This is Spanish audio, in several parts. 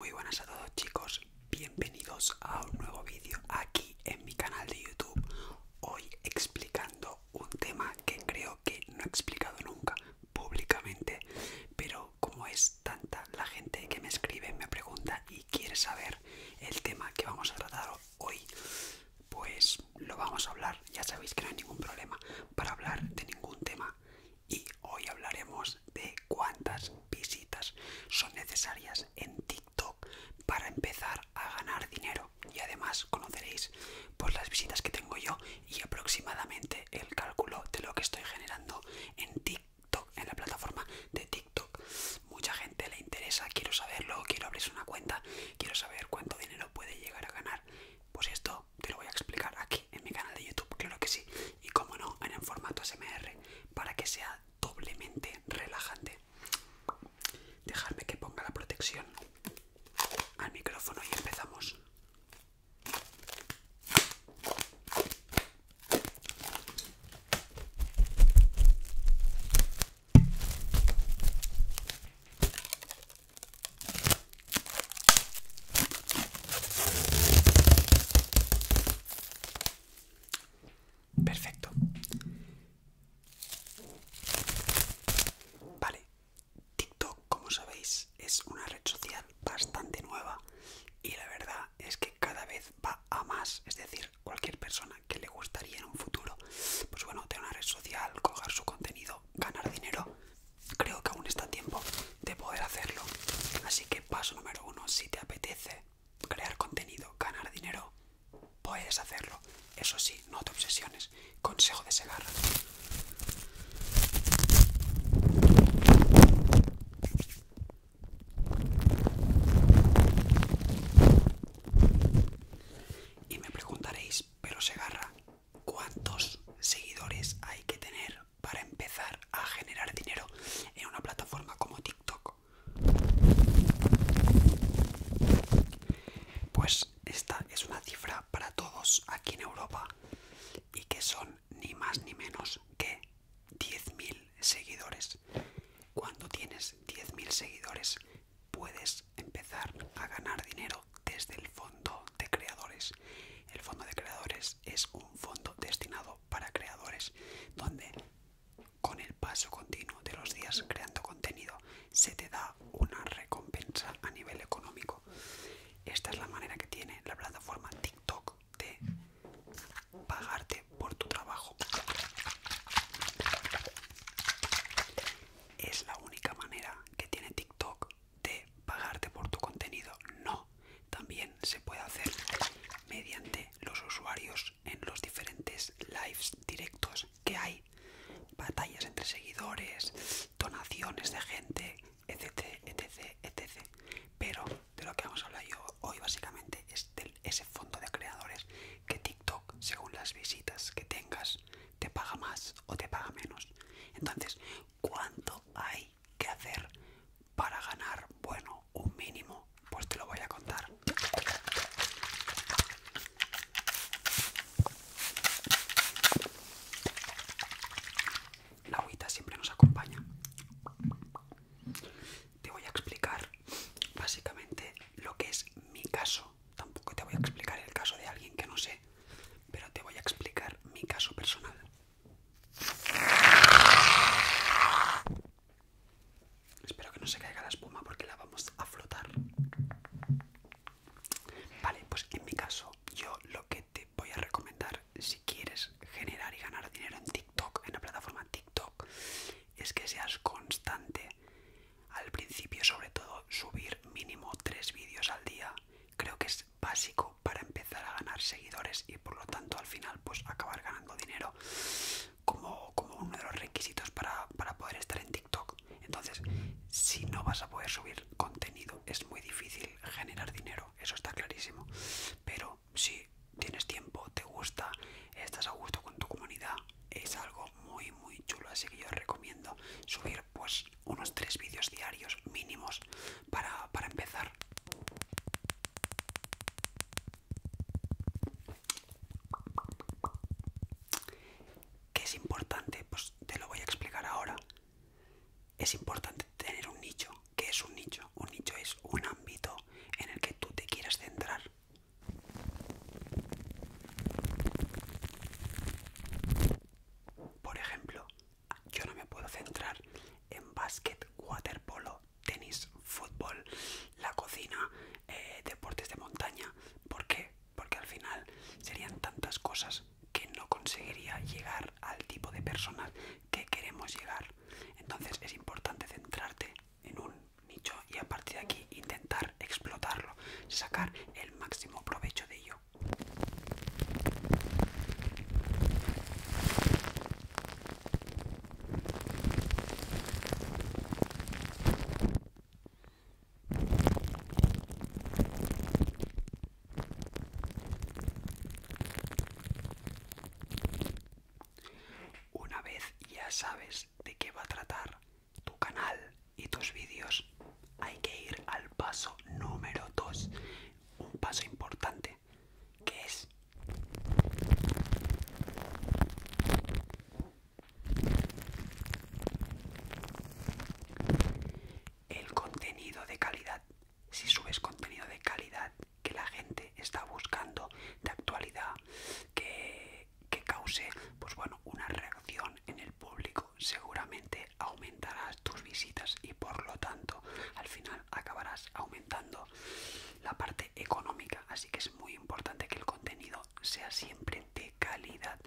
Muy buenas a todos chicos, bienvenidos a un nuevo vídeo aquí en mi canal de YouTube. Hoy explicando un tema que creo que no he explicado nunca públicamente, pero como es tanta la gente que me escribe, me pregunta y quiere saber el tema que vamos a tratar hoy, pues lo vamos a hablar, ya sabéis que no hay ningún problema para hablar de ningún tema y hoy hablaremos de cuántas visitas son necesarias en TikTok para empezar a ganar dinero y además conoceréis por pues, las visitas que tengo yo y aproximadamente el cálculo de lo que estoy generando en TikTok en la plataforma de TikTok. Mucha gente le interesa, quiero saberlo, quiero abrir una cuenta, quiero saber cuánto dinero puede llegar a ganar. Pues esto te lo voy a explicar aquí en mi canal de YouTube, claro que sí. Y como no, en el formato SMR, para que sea doblemente relajante. Dejadme que ponga la protección al micrófono y empezamos. Perfecto. Vale, TikTok, como sabéis, es una red social bastante nueva y la verdad es que cada vez va a más. Es decir, cualquier persona que le gustaría en un futuro, pues bueno, tener una red social, coger su contenido, ganar dinero, creo que aún está tiempo de poder hacerlo. Así que paso número uno, si te apetece crear contenido, ganar dinero, puedes hacerlo. Eso sí, no te obsesiones. Consejo de Segarra. Y me preguntaréis, pero Segarra, cuántos seguidores hay que tener para empezar a generar dinero en una plataforma como TikTok. Pues esta es una cifra para todos aquí en Europa y que son ni más ni menos que 10.000 seguidores. Cuando tienes 10.000 seguidores puedes empezar a ganar dinero desde el fondo de creadores. El fondo de creadores es un fondo destinado para creadores donde con el paso continuo de los días creando contenido se te da una recompensa a nivel económico. Esta es la manera que tiene la plataforma TikTok de pagarte por tu trabajo. Es la única manera que tiene TikTok de pagarte por tu contenido, no. También se puede hacer mediante los usuarios en los diferentes lives directos que hay, batallas entre seguidores, donaciones de gente, etc, etc, etc. Pero de lo que vamos a hablar yo hoy básicamente es de ese fondo de creadores que TikTok, según las visitas que tengas, te paga más o te paga menos. Entonces, ¿cuánto hay que hacer para ganar? Bueno, un mínimo, pues te lo voy a contar. La agüita siempre nos acompaña. Te voy a explicar básicamente lo que es mi caso. Tampoco te voy a explicar el caso de alguien que no sé, pero te voy a explicar mi caso personal. Espero que no se caiga la espuma porque la vamos a flotar. Vale, pues en mi caso, yo lo que te voy a recomendar si quieres generar y ganar dinero en TikTok, en la plataforma TikTok, es que seas constante al principio sobre todo subir mínimo tres vídeos al día creo que es básico para empezar a ganar seguidores y por lo tanto al final pues acabar ganando dinero como, uno de los requisitos para poder estar en TikTok. Entonces si no vas a poder subir contenido es muy difícil generar dinero, eso está clarísimo. Pero si tienes tiempo, te gusta, estás a gusto con tu comunidad, es algo muy muy chulo así que yo recomiendo subir pues unos tres vídeos diarios mínimos para, para empezar ¿Qué es importante? Pues te lo voy a explicar ahora. Es importante tener un nicho. ¿Qué es un nicho? Un nicho es un ámbito en el que tú te quieras centrar. Por ejemplo, yo no me puedo centrar en básquet, waterpolo, tenis, fútbol, la cocina, eh, deportes de montaña. ¿Por qué? Porque al final serían tantas cosas que no conseguiría llegar al tipo de personas que queremos llegar. Entonces es importante centrarte en un nicho y a partir de aquí intentar explotarlo, sacar el máximo provecho de ello. Una vez ya sabes de qué va a tratar tu canal y tus vídeos, hay que ir al paso número dos un paso importante, que es el contenido de calidad. Si subes contenido de calidad que la gente está buscando, de actualidad, que que cause pues bueno, una reacción en el público, seguramente aumentarás tus visitas y por lo tanto al final acabarás aumentando la parte económica. Así que es muy importante que el contenido sea siempre de calidad,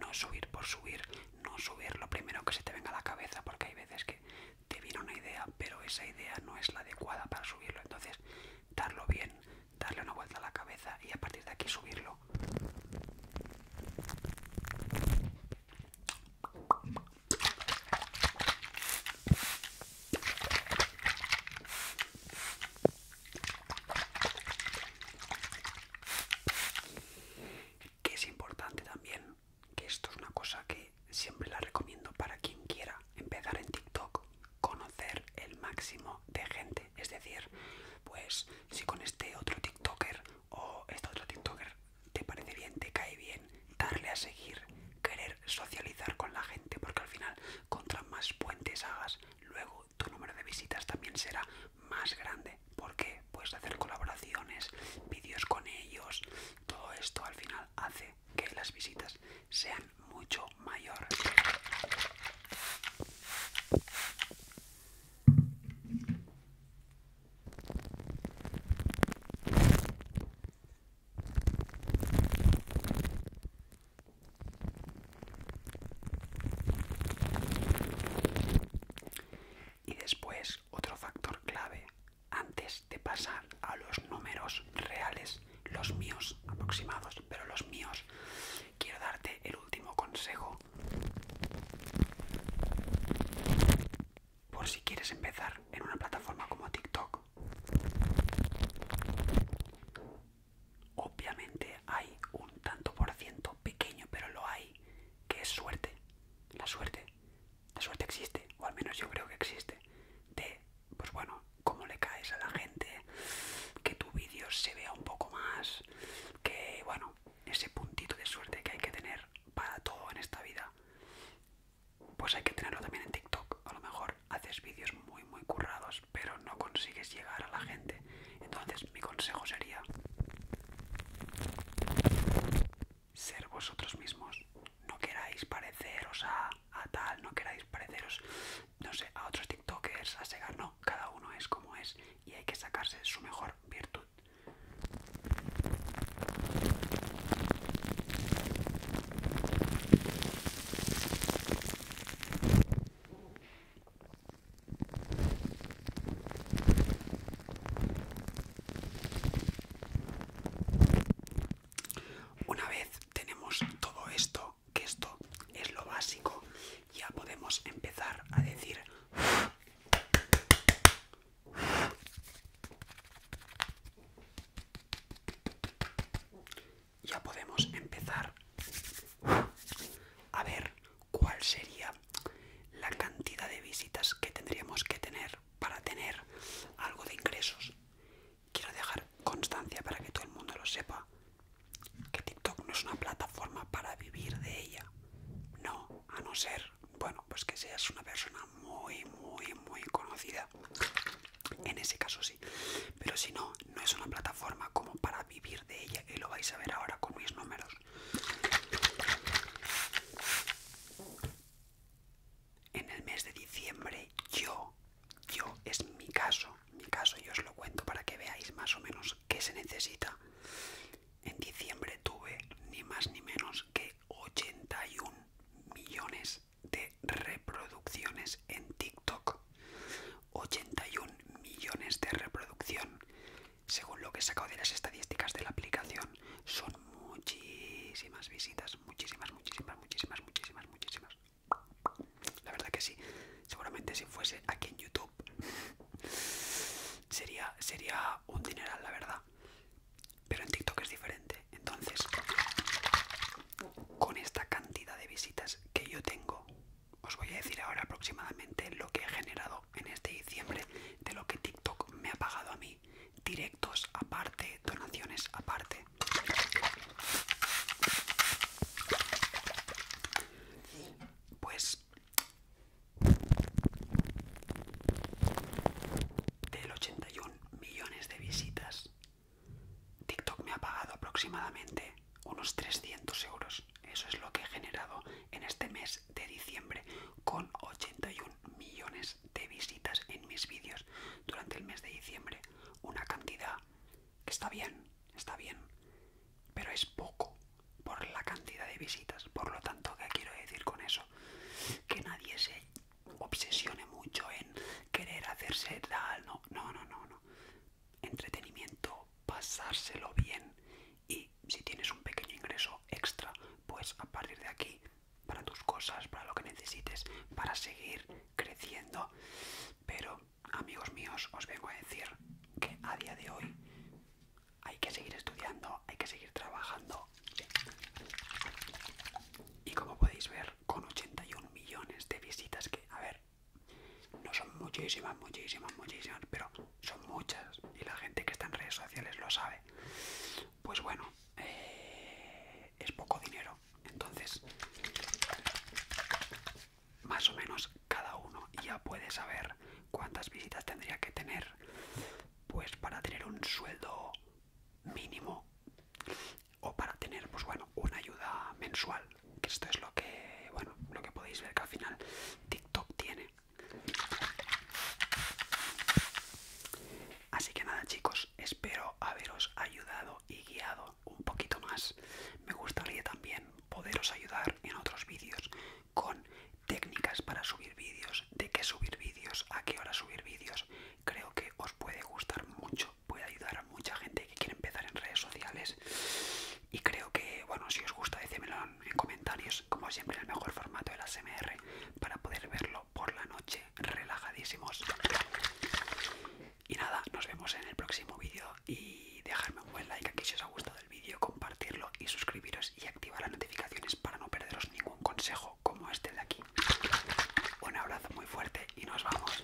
no subir por subir, no subir lo primero que se te venga a la cabeza, porque hay veces que te viene una idea, pero esa idea no es la adecuada para subirlo. Entonces, darlo bien darle una vuelta a la cabeza y a partir de aquí subirlo. Que es importante también, que esto es una cosa que siempre la recomiendo para quien quiera empezar en TikTok, conocer el máximo de gente. Es decir, pues si con este otro TikToker o este otro TikToker te parece bien, te cae bien, darle a seguir, querer socializar con la gente, porque al final, contra más puentes hagas, luego tu número de visitas también será más grande. porque puedes hacer colaboraciones, vídeos con ellos, todo esto al final hace que las visitas sean mucho mayor. Y después otro factor clave antes de pasar a los números reales, los míos aproximados, pero los míos, quiero darte el último consejo por si quieres empezar en una plataforma como TikTok. Obviamente hay un tanto por ciento pequeño, pero lo hay, que es suerte. La suerte la suerte existe, o al menos yo creo que existe, de, pues bueno, cómo le caes a la gente, que tu vídeo se vea un poco más, que, bueno, ese puntito de suerte que hay que tener para todo en esta vida, pues hay que tenerlo también en TikTok. A lo mejor haces vídeos muy, muy currados, pero no consigues llegar a la gente. Entonces, mi consejo sería ser vosotros mismos. No queráis pareceros a, tal, no queráis pareceros, no sé, a otros TikTokers, a Segar, no. Cada uno es como es y hay que sacarse su mejor virtud. Una vez tenemos todo esto, que esto es lo básico, ya podemos empezar a decir ya podemos empezar a ver cuál sería la cantidad de visitas que tendríamos que tener para tener algo de ingresos. Quiero dejar constancia para que todo el mundo lo sepa. Que TikTok no es una plataforma para vivir de ella. No, a no ser, bueno, pues que seas una persona muy, muy, muy conocida. En ese caso sí. Pero si no, no es una plataforma como para vivir de ella. Y lo vais a ver ahora con mis números en el mes de diciembre yo, yo es mi caso, mi caso yo os lo cuento para que veáis más o menos qué se necesita. En diciembre tuve ni más ni menos que 81 millones de reproducciones en TikTok. 81 millones de reproducción. Según lo que he sacado de las estadísticas de la aplicación, son muchísimas visitas, muchísimas, muchísimas, muchísimas, muchísimas, muchísimas. La verdad que sí. Seguramente si fuese aquí en YouTube sería, sería un dineral, la verdad. Pero en TikTok es diferente. Entonces, con esta cantidad de visitas que yo tengo, os voy a decir ahora aproximadamente lo que he generado en este diciembre de lo que TikTok me ha pagado a mí. Directos aparte, donaciones aparte. Pues del 81 millones de visitas, TikTok me ha pagado aproximadamente unos 300 euros. Eso es lo que he generado en este mes de diciembre con 81 millones de visitas en mis vídeos durante el mes de diciembre. Una cantidad que está bien, está bien, pero es poco por la cantidad de visitas. Por lo tanto, ¿qué quiero decir con eso? Que nadie se obsesione mucho en querer hacerse la... No, no, no, no. no. Entretenimiento, pasárselo bien y si tienes un pequeño ingreso extra, pues a partir de aquí, para tus cosas, para lo que necesites, para seguir creciendo. Pero, amigos míos, os vengo a decir que a día de hoy hay que seguir estudiando, hay que seguir trabajando. Y como podéis ver, con 81 millones de visitas que, a ver, no son muchísimas, muchísimas, muchísimas, pero son muchas y la gente que está en redes sociales lo sabe. Pues bueno, eh, es poco dinero, entonces más o menos cada uno ya puede saber cuántas visitas tendría que tener pues para tener un sueldo mínimo o para tener pues bueno una ayuda mensual que esto es lo que, bueno, lo que podéis ver que al final TikTok tiene. Así que nada chicos, espero haberos ayudado y guiado un poquito más. Me gustaría también poderos ayudar en otros vídeos con técnicas para subir vídeos, de qué subir vídeos, a qué hora subir vídeos. Creo que os puede gustar mucho, puede ayudar a mucha gente que quiere empezar en redes sociales y creo que, bueno, si os gusta, decídmelo en comentarios. Como siempre, el mejor formato de la para poder verlo por la noche relajadísimos. Y nada, nos vemos en el próximo vídeo. Y dejadme un buen like aquí si os ha gustado el vídeo, compartirlo y suscribiros y activar las notificaciones para no perderos ningún consejo como este de aquí. Un abrazo muy fuerte y nos vamos.